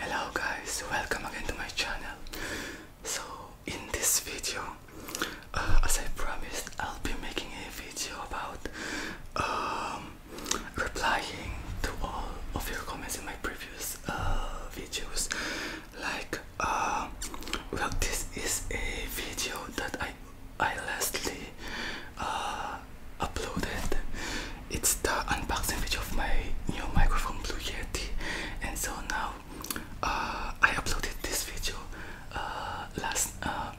Hello guys, welcome again to my channel. So in this video, uh, as I promised, I'll be making a video about um, replying to all of your comments in my previous uh, videos like uh, well this is a video that I I lastly uh, uploaded it's the unboxing video of my new microphone Blue Yeti and so now uh, I uploaded this video uh, last uh,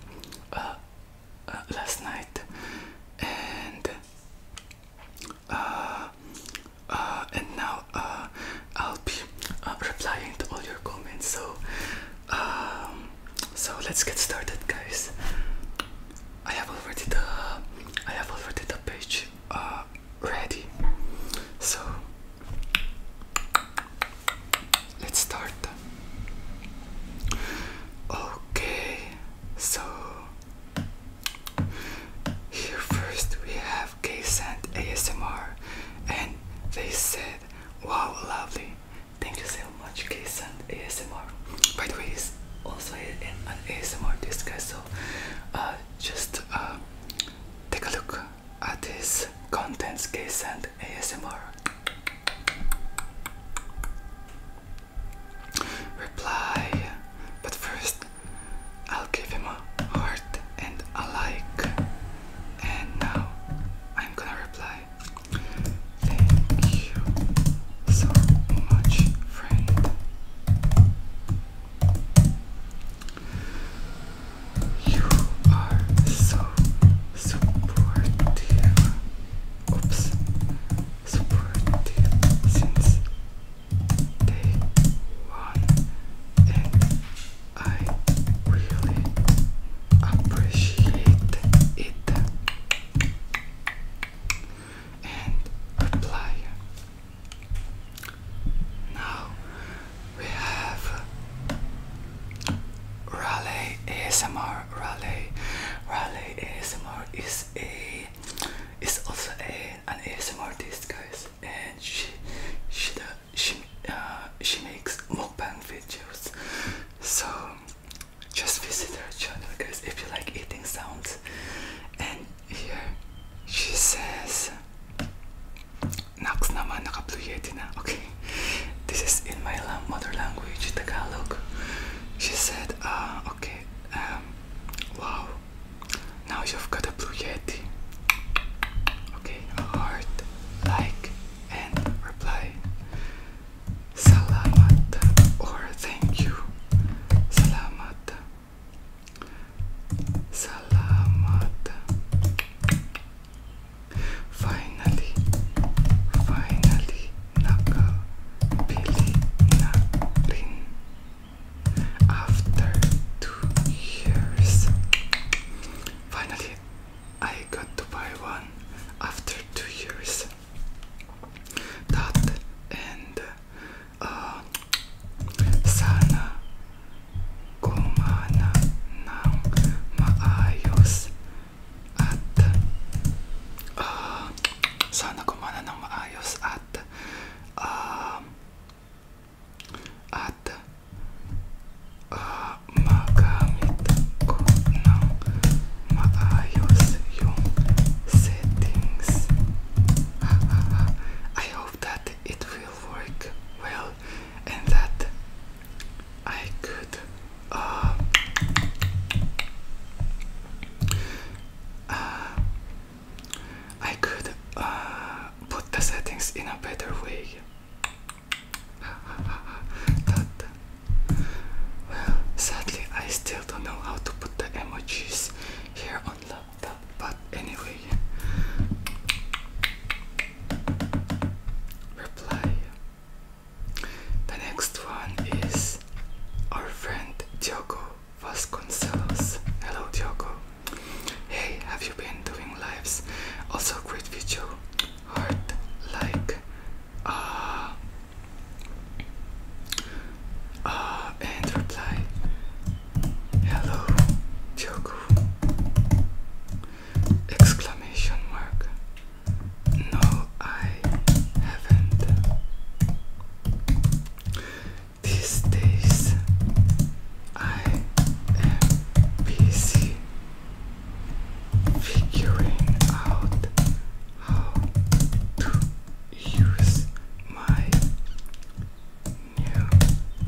uh, uh last night and uh, uh, and now uh, I'll be uh, replying to all your comments. So, um, so let's get started, guys. I have already the I have already the page ready. So let's start. Okay, so here first we have K sent ASMR and they said, wow, lovely. Thank you so much, K sent ASMR. By the way, he's also an ASMR, this so uh, just uh, take a look at this contents, K sent ASMR. Reply, but first I'll give him a heart and a like. And now I'm gonna reply. Thank you so much, friend. You are so supportive. Oops. Supportive since day one I really appreciate it and reply. Now we have Raleigh ASMR. Raleigh, Raleigh ASMR is a is also a an ASMR artist, guys, and she she does she uh, she makes mukbang videos. So just visit her channel, guys, if you like eating sounds. And here she says, "Naks naman nakapluyeti na." Okay, this is in my mother language, Tagalog. She said, uh, okay, um, wow, now you've got a blue yeti. Okay, heart, like, and reply. Salamat or thank you. Salamat. Salamat. Finally, finally, nakabili na rin after two years, finally I got to buy one. After two years, that and uh, sana gumana ng maayos at uh, sana gumana ng maayos at um, at uh, magamit ko ng maayos settings. I hope that it will work well and that I could uh, uh, I could uh, put the settings in a better way. well, sadly, I still don't know how to put the emojis here on laptop, but anyway. Reply. The next one is our friend Diogo Vasconcelos. Hello, Diogo. Hey, have you been doing lives? Also great video. Heart like uh uh and reply. Hello Diogo Exclamation mark No I haven't these days I am busy figuring out how to use my new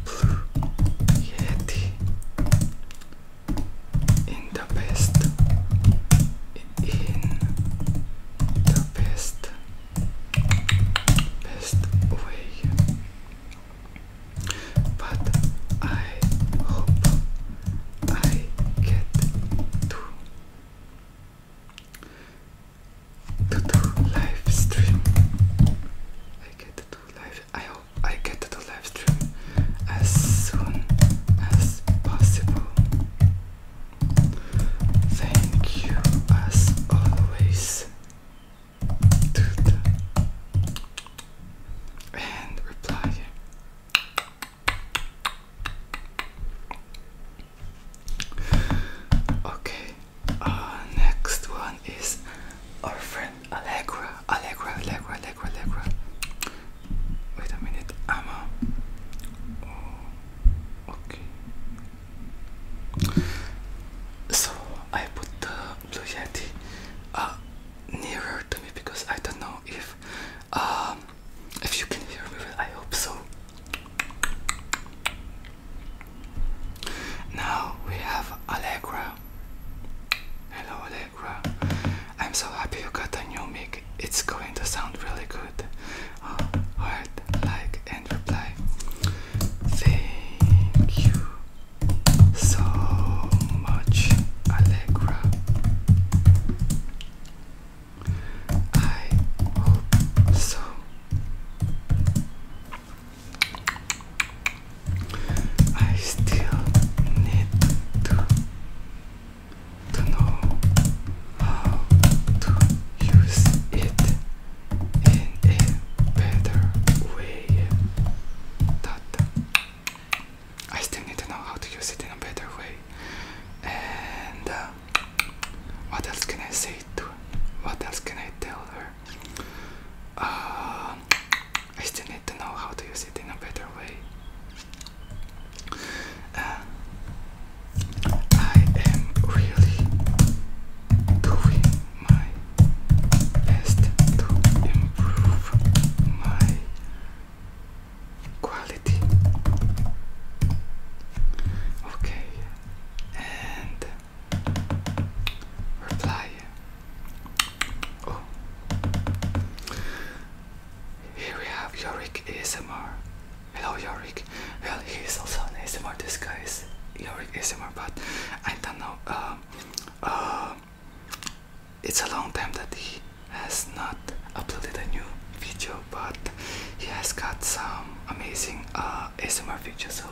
blue Yeti in the best in the best best way but I hope I get to to do live stream. I get to live. I hope I get to live stream as soon as possible. Thank you as always. And reply. Okay, uh, next one is our friend Allegra. Allegra, Allegra, Allegra, Allegra. Wait a minute, i oh, okay. So I put Blue uh, Yeti nearer to me because I don't know if um, if you can hear me. Well, I hope so. Now we have Allegra. Hello, Allegra. I'm so happy you got a new mic. It's going to sound really good. Uh, like, and reply. Thank you so much Allegra. I hope so. I still need to know how to use it in a better way. That I still need to know how to use it in a better way. And uh, what else can I say to? her? What else can I tell her? Uh, I still need to know how to use it in a better way. Uh, I am really doing my best to improve my quality. Okay, and reply. Oh, here we have Yorick ASMR. Hello, Yorick. Well, he also an ASMR disguise is lyric ASMR, but I don't know. Um, uh, it's a long time that he has not uploaded a new video, but he has got some amazing uh, ASMR videos. So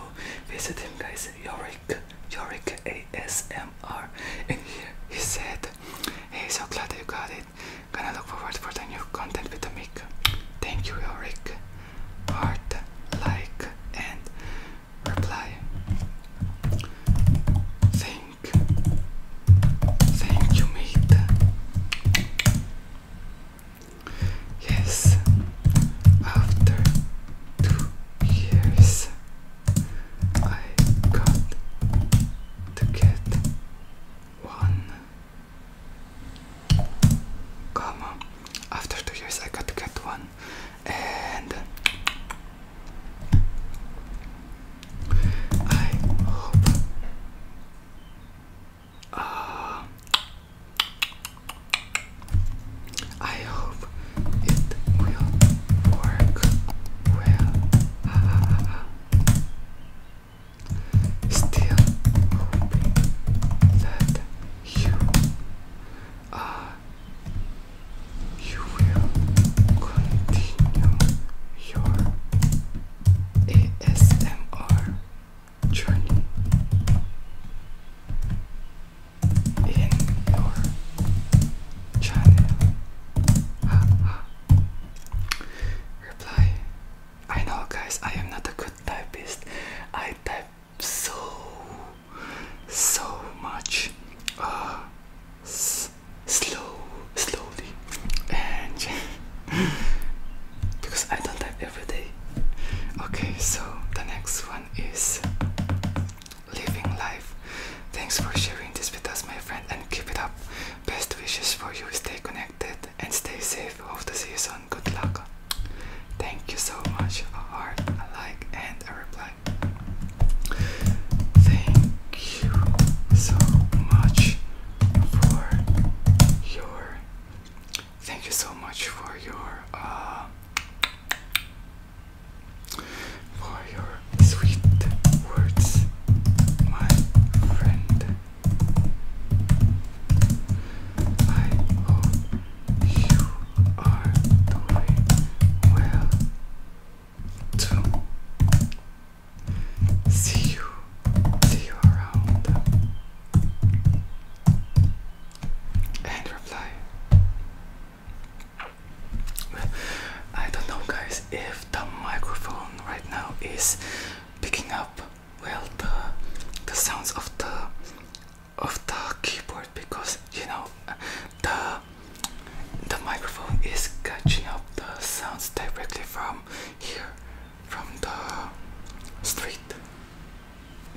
visit him, guys. Yorick, Yorick ASMR. And he said, "Hey, so glad you got it. Gonna look forward for the new content with the mic. Thank you, Yorick. Heart, like, and reply. Thank, thank you, mate. Yes, after two years, I got to get one. Come on, after two years, I got to get one and I hope uh, I hope it will work well. Still hoping that you uh, you will continue your ASMR journey in your channel. Reply. I know, guys, I am not a good typist. I type so so much uh, slow slowly and because I don't have every day okay so the next one is living life thanks for sharing this with us my friend and keep it up best wishes for you stay connected and stay safe of the season good luck Thank you so much. for your. Thank you so much for your. Uh, for your sweet words, my friend. I you are doing well too. See you. See you around. And reply. Well, I don't know, guys, if the microphone right now is picking up well the the sounds of the of the keyboard because you know the the microphone is catching up the sounds directly from here from the street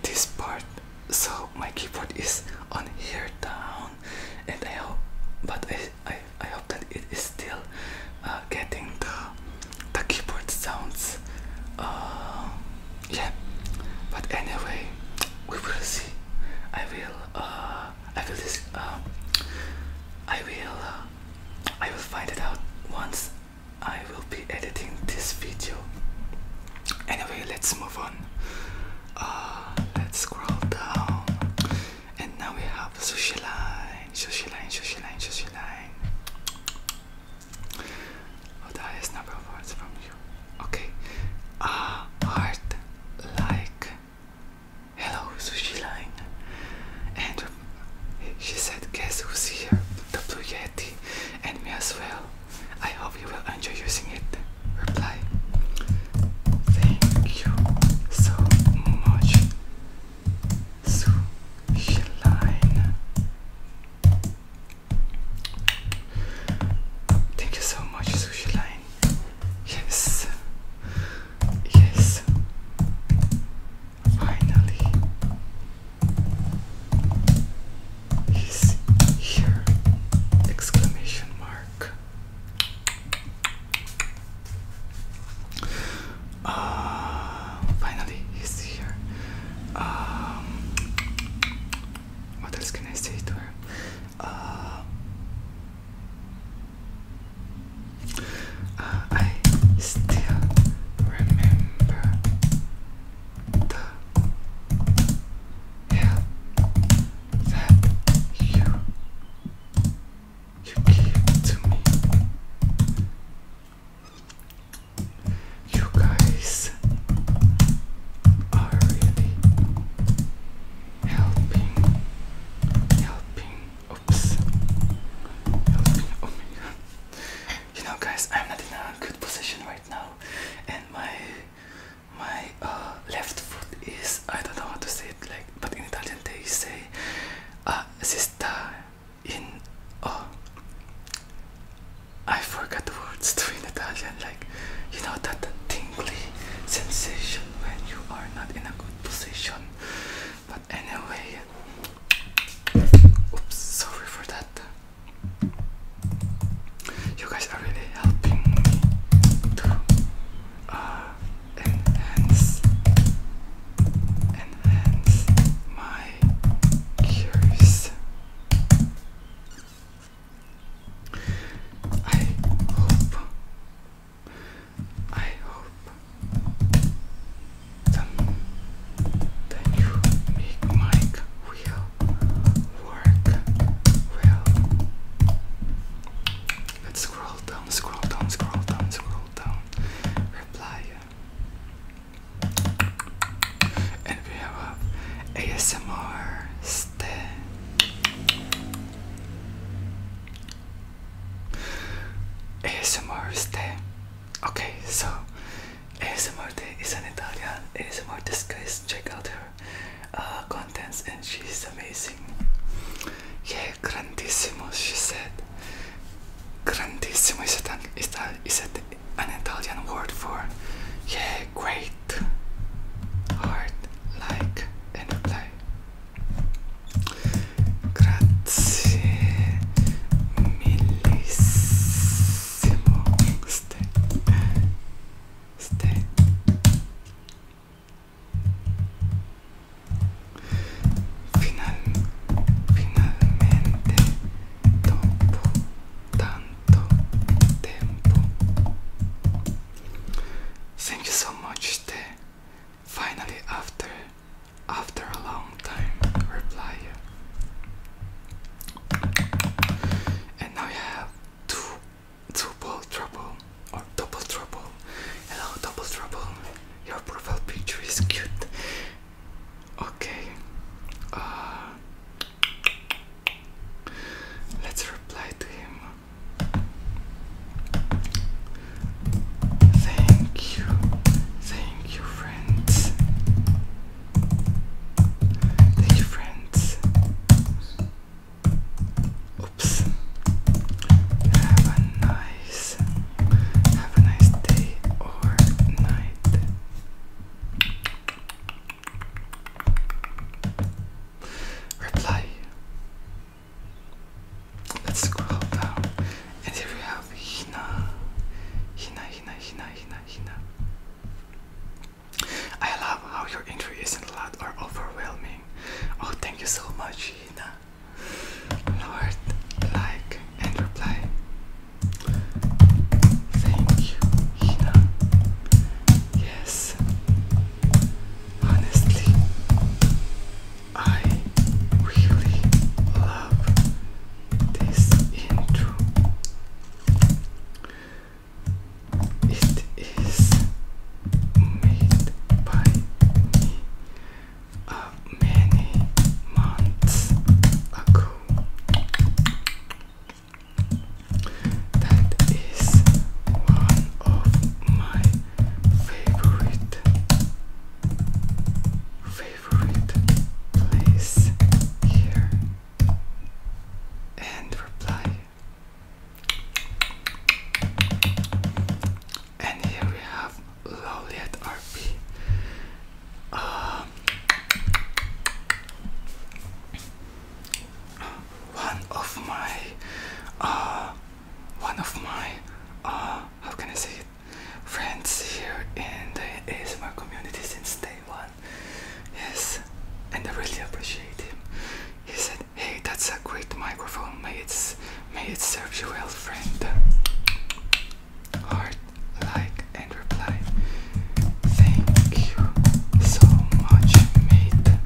this part so my keyboard is on here down and I hope but I, I, I hope that it is still uh, getting the the keyboard sounds uh, yeah but anyway we will see i will uh i will this uh, i will uh, i will find it out once i will be editing this video anyway let's move on uh let's scroll down and now we have sushi line sushi line sushi line sushi line Oh, that is number of words from you. Okay. Ah, uh, heart like hello sushi And she said, guess who's here? The blue yeti and me as well. I hope you will enjoy using it. Reply. Thank you so much. Sushi Thank you so much, Sushi Line. Yes, yes, finally, he's here! Exclamation mark. Uh, finally, he's here. Um, what else can I say to her? Uh, I still remember the help that you you give to me. You guys are really helping, helping. Oops, helping. Oh my god. You know, guys, I'm not in a good position right now, and my my uh, left foot is I don't know how to say it like, but in Italian they say uh, "sister in oh I forgot the words to in Italian, like you know that tingly sensation when you are not in a good position. But anyway, oops, sorry for that. You guys are really helping me to uh, enhance, enhance my cures. I hope, I hope that you make Mike will work well. Let's scroll down, scroll down, scroll down, scroll down. Reply. And we have ASMR stay. ASMR stay. Okay, so ASMR day is an Italian ASMR disguise. Check out her uh, contents, and she's amazing. Yeah, grandissimo, she said. Grandissimo is, thats is, a, an Italian word for yeah, great, hard, like, and play. Grazie millissimo. Stay. Stay. finalmente, dopo Thank you so much, Ste. Finally, after after a long time, reply. And now you have two double trouble or double trouble. Hello, double trouble. Your profile picture is cute. Okay. Uh, Let's reply to him. Thank you, thank you, friends. Thank you, friends. Oops. Have a nice, have a nice day or night. Reply. Let's scroll down. And here we have Hina. Hina, Hina, Hina, Hina, Hina. I love how your entry isn't a lot or overwhelming. Oh, thank you so much, Hina. Lord, like and reply. Thank you, Hina. Yes. Honestly, I really love this intro. It is made by me uh, many months ago. That is one of my favorite favorite place here. And reply. And here we have Lowliet RP. Uh, ah one of my uh, one of my uh, how can I say it friends here in the ASMR community since day one. Yes, and I really appreciate him. He said, "Hey, that's a great microphone. May it's may it serve you well, friend." Heart like and reply Thank you so much, mate.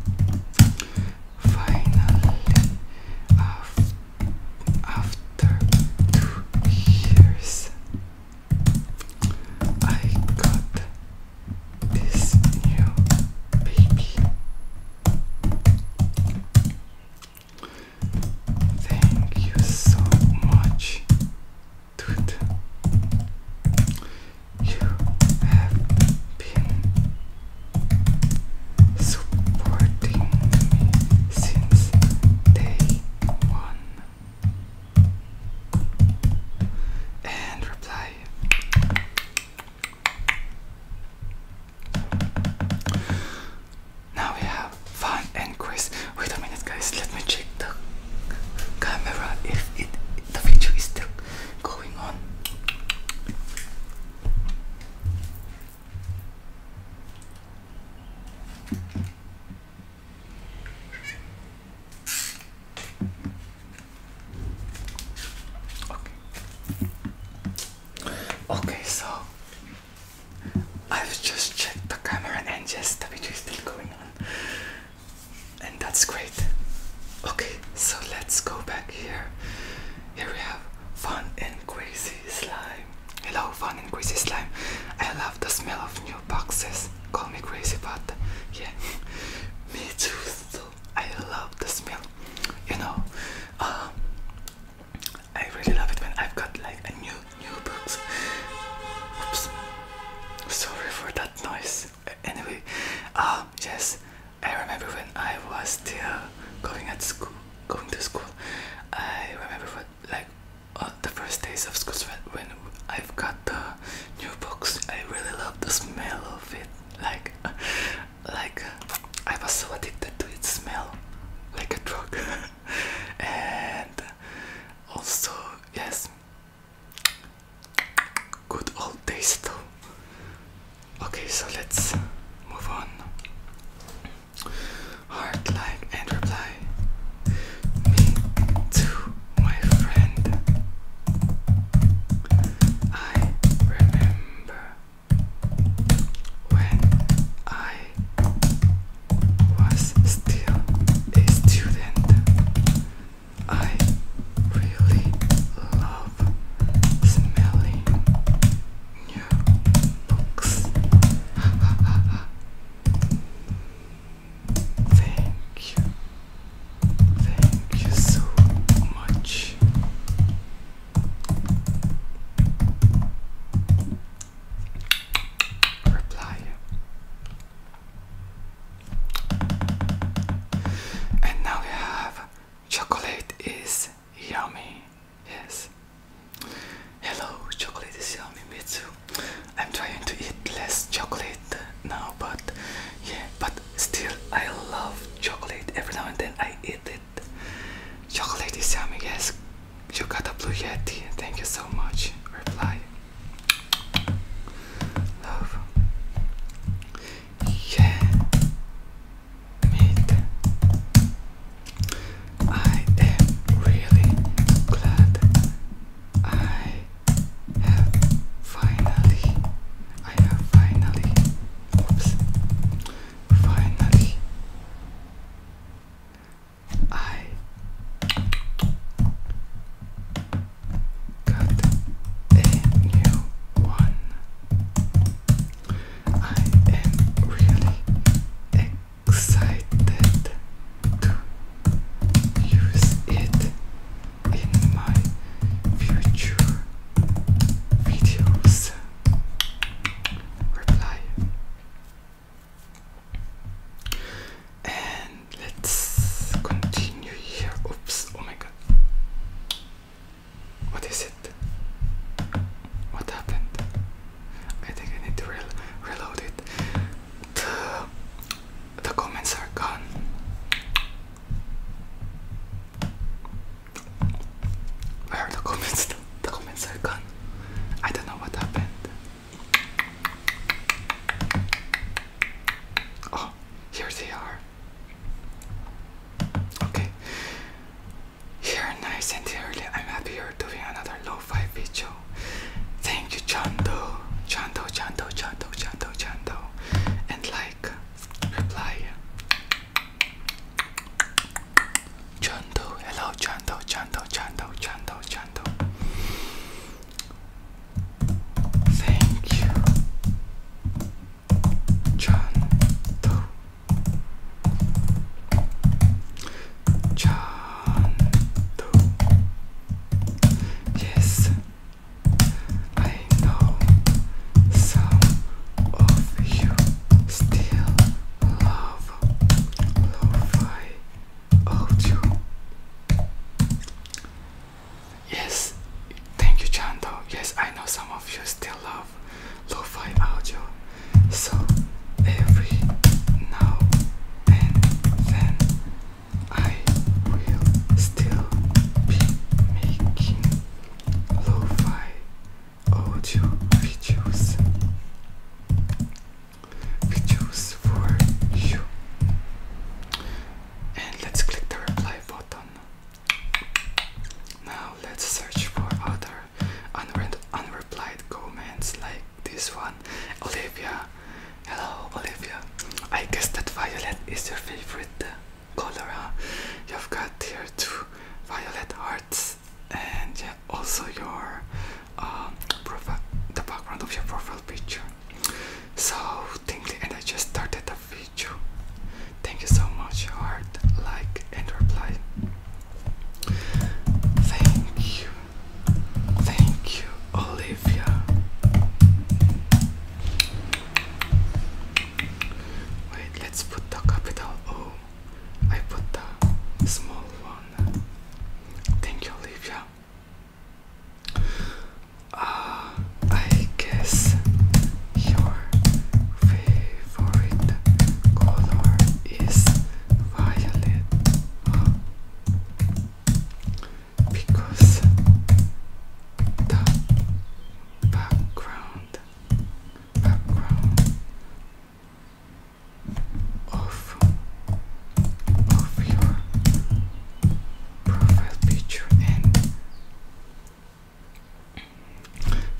Finally, after two years, I got this new baby. Thank you so much, to it. You have been supporting me since day one. And reply. Now we have fun and quiz. Wait a minute, guys. Let me check the camera if it the video is still going on. Okay. Okay, so I've just checked the camera and yes, the video is still going on and that's great. Okay, so let's go back here. Here we have fun and crazy slime. Hello, fun and crazy slime. I love the smell of new boxes. Call me crazy, but yeah, me too. So I love the smell. You know, um, I really love it when I've got like a new new box. Oops. Sorry for that noise. Anyway, uh, yes, I remember when I was still going at school, going to school. I remember what, like the first days of school when I've got the new books. I really love the smell of it. Like, like I was so addicted to its smell, like a drug. and also, yes, Good old days though. Okay, so let's move on. Heart and reply. Me too, my friend. I remember when I was still a student. I really love smelling new books. Thank you. Thank you so much. Reply. And now we have chocolate is yummy. Yes. Hello, chocolate is yummy, me I'm trying to eat less chocolate now, but yeah, but still I love chocolate. Every now and then I eat it. Chocolate is yummy, yes. You got a blue yeti. Thank you so much. Reply. Love. Yeah. Meet. I am really glad I have finally I have finally oops finally I got a new one. I am really excited to use it in my future videos. Reply. And let's continue here. Oops, oh my god. What is it? What happened? I think I need to reload it. the comments are gone. Where are the comments? The comments are gone. I don't know what happened. Oh, here they are. Okay, here nice and early. I'm happy you're doing another lo-fi video. Thank you, Chando, Chando, Chando, Chando, Chando, Chando, and like, reply. Chando, hello, Chando, Chando, Chando, Chando, Chando. Thank you, John Doe. John Doe. Yes, I know some of you still love lo-fi audio. Yes, thank you, Chando. Yes, I know some of you still love lo-fi audio, so every now and then I will still be making lo-fi audio videos we choose for you. And let's click the reply button. Now let's search for other unre unreplied comments like this one. Olivia, hello Olivia. I guess that violet is your favorite color. Huh? You've got here two violet hearts and also your uh, profile, the background of your profile picture. So thank you, and I just started the video. Thank you so much. Heart, like, and reply. Thank you, thank you, Olivia. Wait, let's put the capital O. I put the small one. Thank you, Olivia. Uh, I guess your favorite color is violet, Because the background of of, of your profile picture and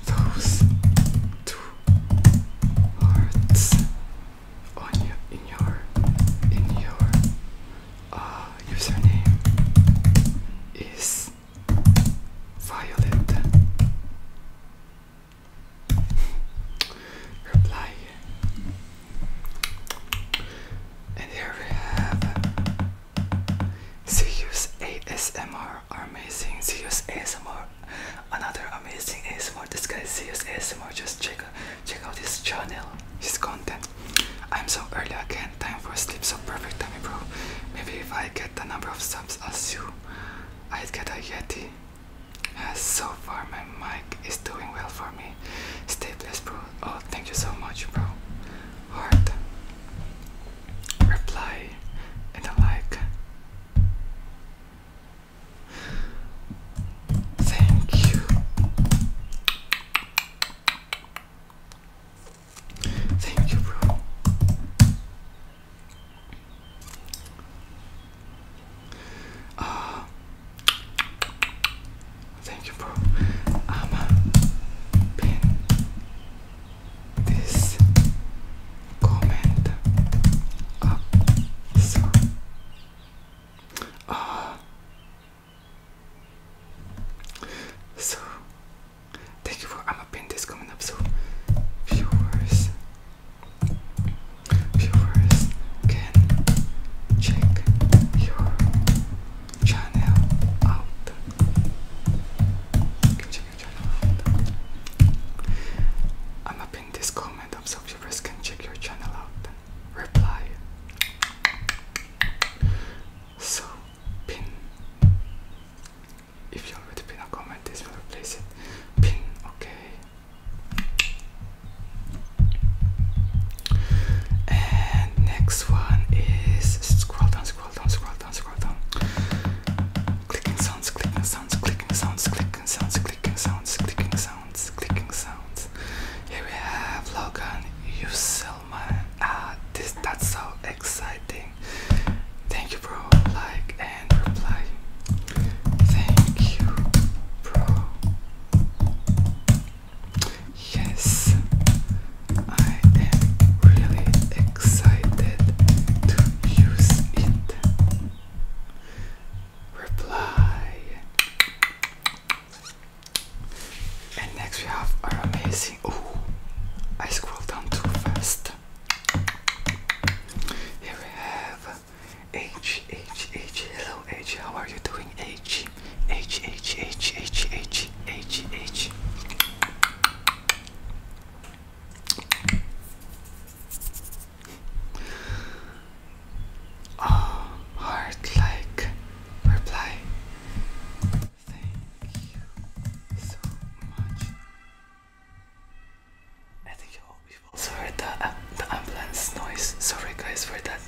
those two hearts on your in your in your uh, username is Violet. Reply and here we have Zeus ASMR, amazing Zeus ASMR, another amazing ASMR. This guy Zeus ASMR, just check check out his channel, his content. I'm so early again, time for sleep, so perfect time, bro. Maybe if I get the number of subs I'll sue. I'd get a Yeti. Yes, so far, man. Mike is doing well for me. Stay blessed, bro. Oh, thank you so much, bro. Heart, reply, and like. Thank you. Thank you, bro. Uh, thank you, bro. i this comment up. So, uh, so thank you for. i this comment up. So, viewers viewers can check your channel out. I'm up in this comment up so viewers can check your channel out. Reply. So pin if you already pin a comment this will replace it. Pin okay and next one is scroll down, scroll down, scroll down, scroll down. Clicking sounds, clicking sounds, clicking sounds, clicking sounds, clicking sounds, clicking sounds, clicking sounds. Here we have Logan Uselman. Ah, this that's so exciting. Thank you, bro. Like and reply. Thank you, bro. Yes, I am really excited to use it. Reply. And next we have our amazing. Oh, I scrolled down too fast. Here we have H H H hello H how are you doing H H H H H H H H Oh heart like reply Thank you so much I think you all also heard the, uh, the ambulance noise. Sorry guys for that.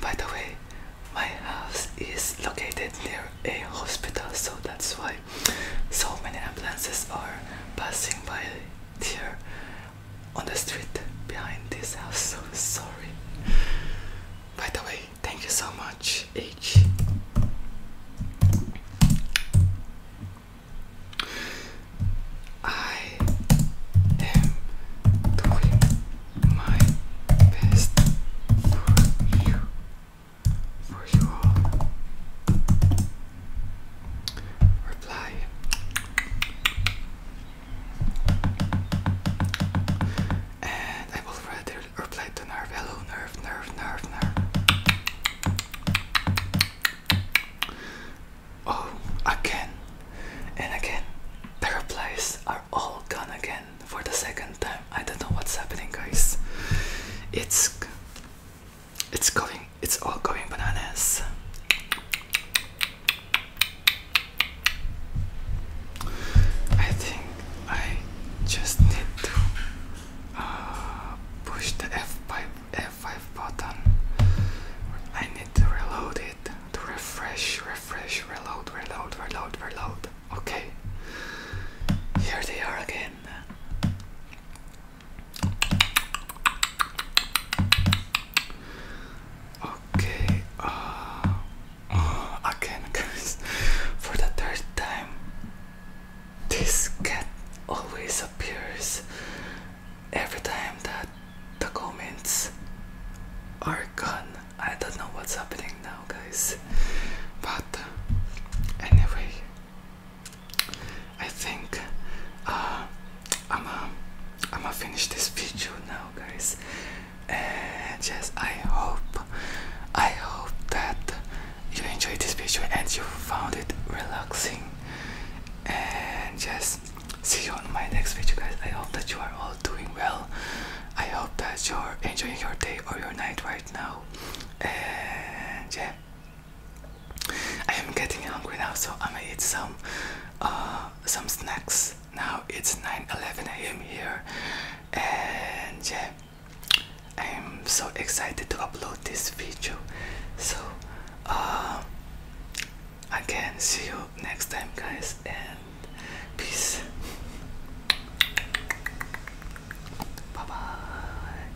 By the way, my house is located near a hospital, so that's why so many ambulances are passing by here on the street behind this house. So sorry. By the way, thank you so much, H. I am doing my best for you, for you all. Reply. And I will rather reply to nerve. Hello, nerve, nerve, nerve, nerve. Oh, again and again. The replies are all gone again for the second time. I don't know what's happening, guys. It's it's going. It's all going bananas. I think I just need to uh, push the F5 F5 button. I need to reload it to refresh, refresh, reload, reload, reload, reload. Okay, here they are again. Okay, uh, uh, again, guys, for the third time, this cat always appears every time that the comments are gone. I don't know what's happening now, guys. But uh, anyway, I think I'm uh, I'm gonna finish this video now, guys. And yes, I hope I hope that you enjoyed this video and you found it relaxing. And yes see you on my next video guys i hope that you are all doing well i hope that you're enjoying your day or your night right now and yeah i am getting hungry now so i'm gonna eat some uh, some snacks now it's 9 11 a.m here and yeah i'm so excited to upload this video so uh, I can see you next time guys and peace bye bye